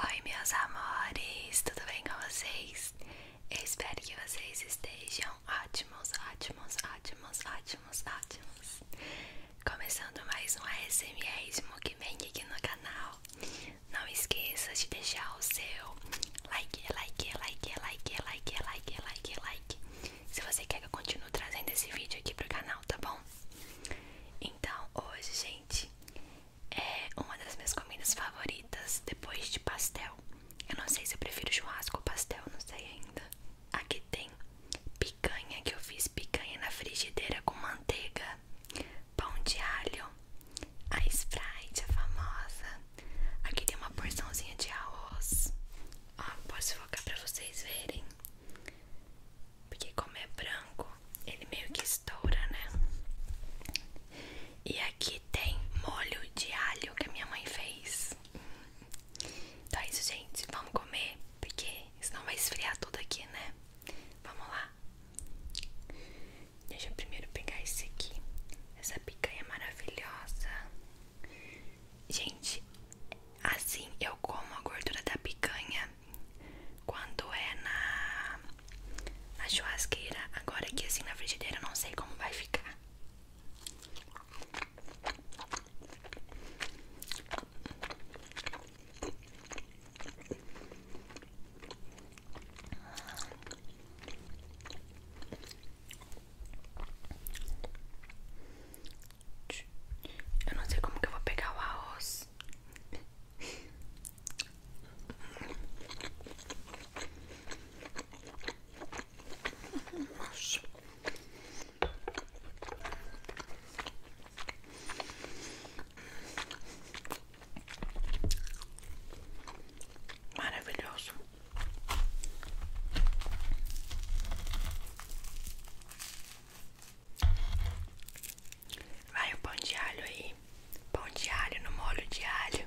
Oi, meus amores, tudo bem com vocês? Eu espero que vocês estejam ótimos, ótimos, ótimos, ótimos, ótimos. Começando mais um ASMR de Mukbang aqui no canal. Não esqueça de deixar o seu like, like, like, like, like, like, like, like, like. Se você quer que eu continue trazendo esse vídeo aqui pro canal, tá bom? Então, hoje, gente, é uma das minhas comidas favoritas depois de pastel. Eu não sei se eu prefiro churrasco ou pastel, não sei ainda. Aqui tem picanha, que eu fiz picanha na frigideira com manteiga, pão de alho, a Sprite, a famosa. Aqui tem uma porçãozinha de arroz. Ó, posso focar pra vocês verem. Porque como é branco, ele meio que estoura, né? E aqui tem molho de alho que a minha mãe fez. Então é isso, gente. Vamos comer, porque senão vai esfriar tudo aqui, né? Vamos lá. Deixa eu primeiro pegar esse aqui. Essa picanha maravilhosa. Gente, assim eu como a gordura da picanha quando é na, na churrasqueira. Agora aqui assim na frigideira eu não sei como vai ficar. Eu não sei como que eu vou pegar o arroz nossa. Maravilhoso. Vai o pão de alho aí. Pão de alho no molho de alho.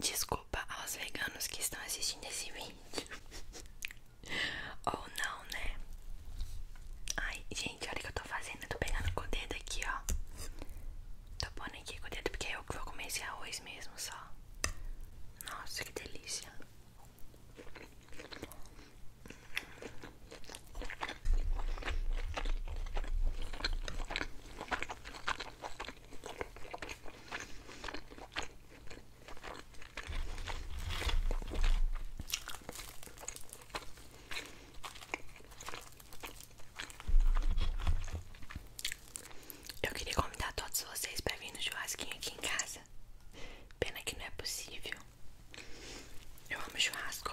Desculpa aos veganos que estão assistindo esse vídeo. Ou não, né? Ai, gente, olha o que eu tô fazendo. Eu tô pegando com o dedo aqui, ó. Tô pondo aqui com o dedo, porque é eu que vou comer esse arroz mesmo, só. Nossa, que delícia. Eu queria convidar todos vocês para vir no churrasquinho aqui em casa. Pena que não é possível. Eu amo churrasco.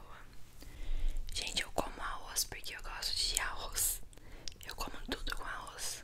Gente, eu como arroz porque eu gosto de arroz. Eu como tudo com arroz.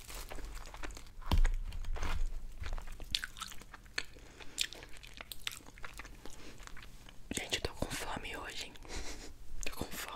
Gente, eu tô com fome hoje, hein? Tô com fome.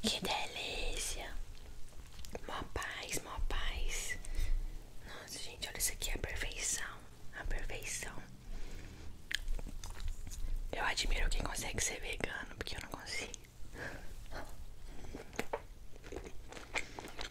Que delícia! Mó paz, mó paz. Nossa, gente, olha isso aqui, a perfeição. A perfeição. Eu admiro quem consegue ser vegano, porque eu não consigo.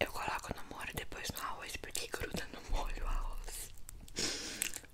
Eu coloco no molho depois no arroz porque gruda no molho o arroz.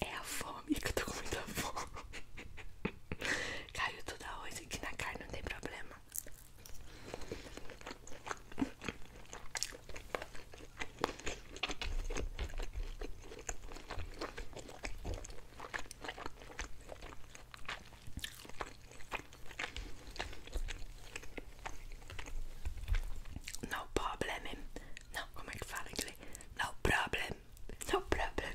é a fome que eu tô com muita fome. Caiu tudo arroz aqui na carne, não tem problema. No problem. No, I'm emphatically. No problem. No problem.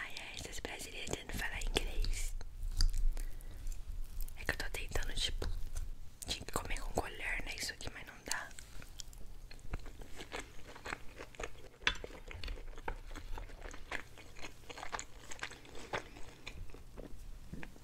Ai, ai, essas brasileiras tentando falar inglês. É que eu tô tentando, tipo, tinha que comer com colher, né? Isso aqui, mas não dá.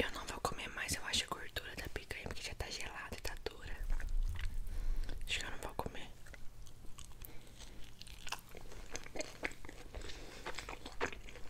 Eu não vou comer mais, eu acho a gordura da picanha porque já tá gelada e tá dura. Acho que eu não vou comer.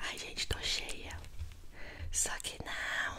Ai, gente, tô cheia. Só que não.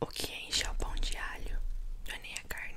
O que enche é o pão de alho, não é nem a carne.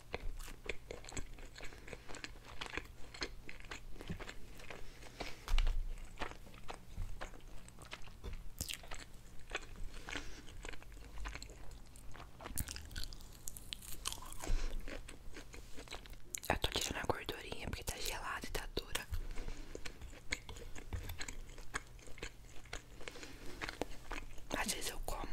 Eu tô tirando a gordurinha porque tá gelada e tá dura. Às vezes eu como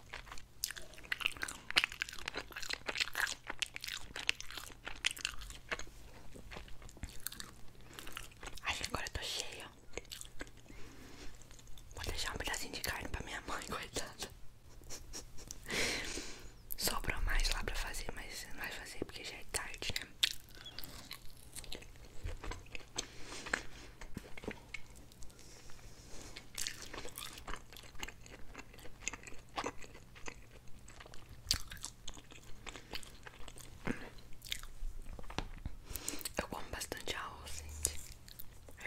Ai, agora eu tô cheia. Vou deixar um pedacinho de carne pra minha mãe, coitada. Sobrou mais lá pra fazer, mas não vai fazer porque já é tarde, né? Eu como bastante arroz, gente.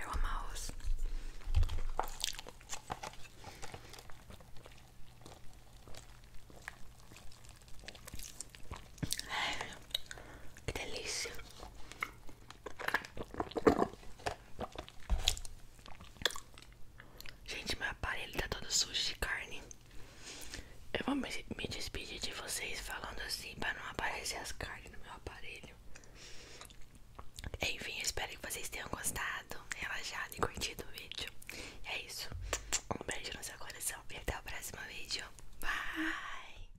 Eu amo arroz. É, que delícia. Gente, meu aparelho tá todo sujo de carne. Eu vou me, despedir de vocês falando assim pra não aparecer as carnes no meu aparelho. Enfim, espero que vocês tenham gostado, relaxado e curtido o vídeo. é isso. Um beijo no seu coração e até o próximo vídeo. Bye!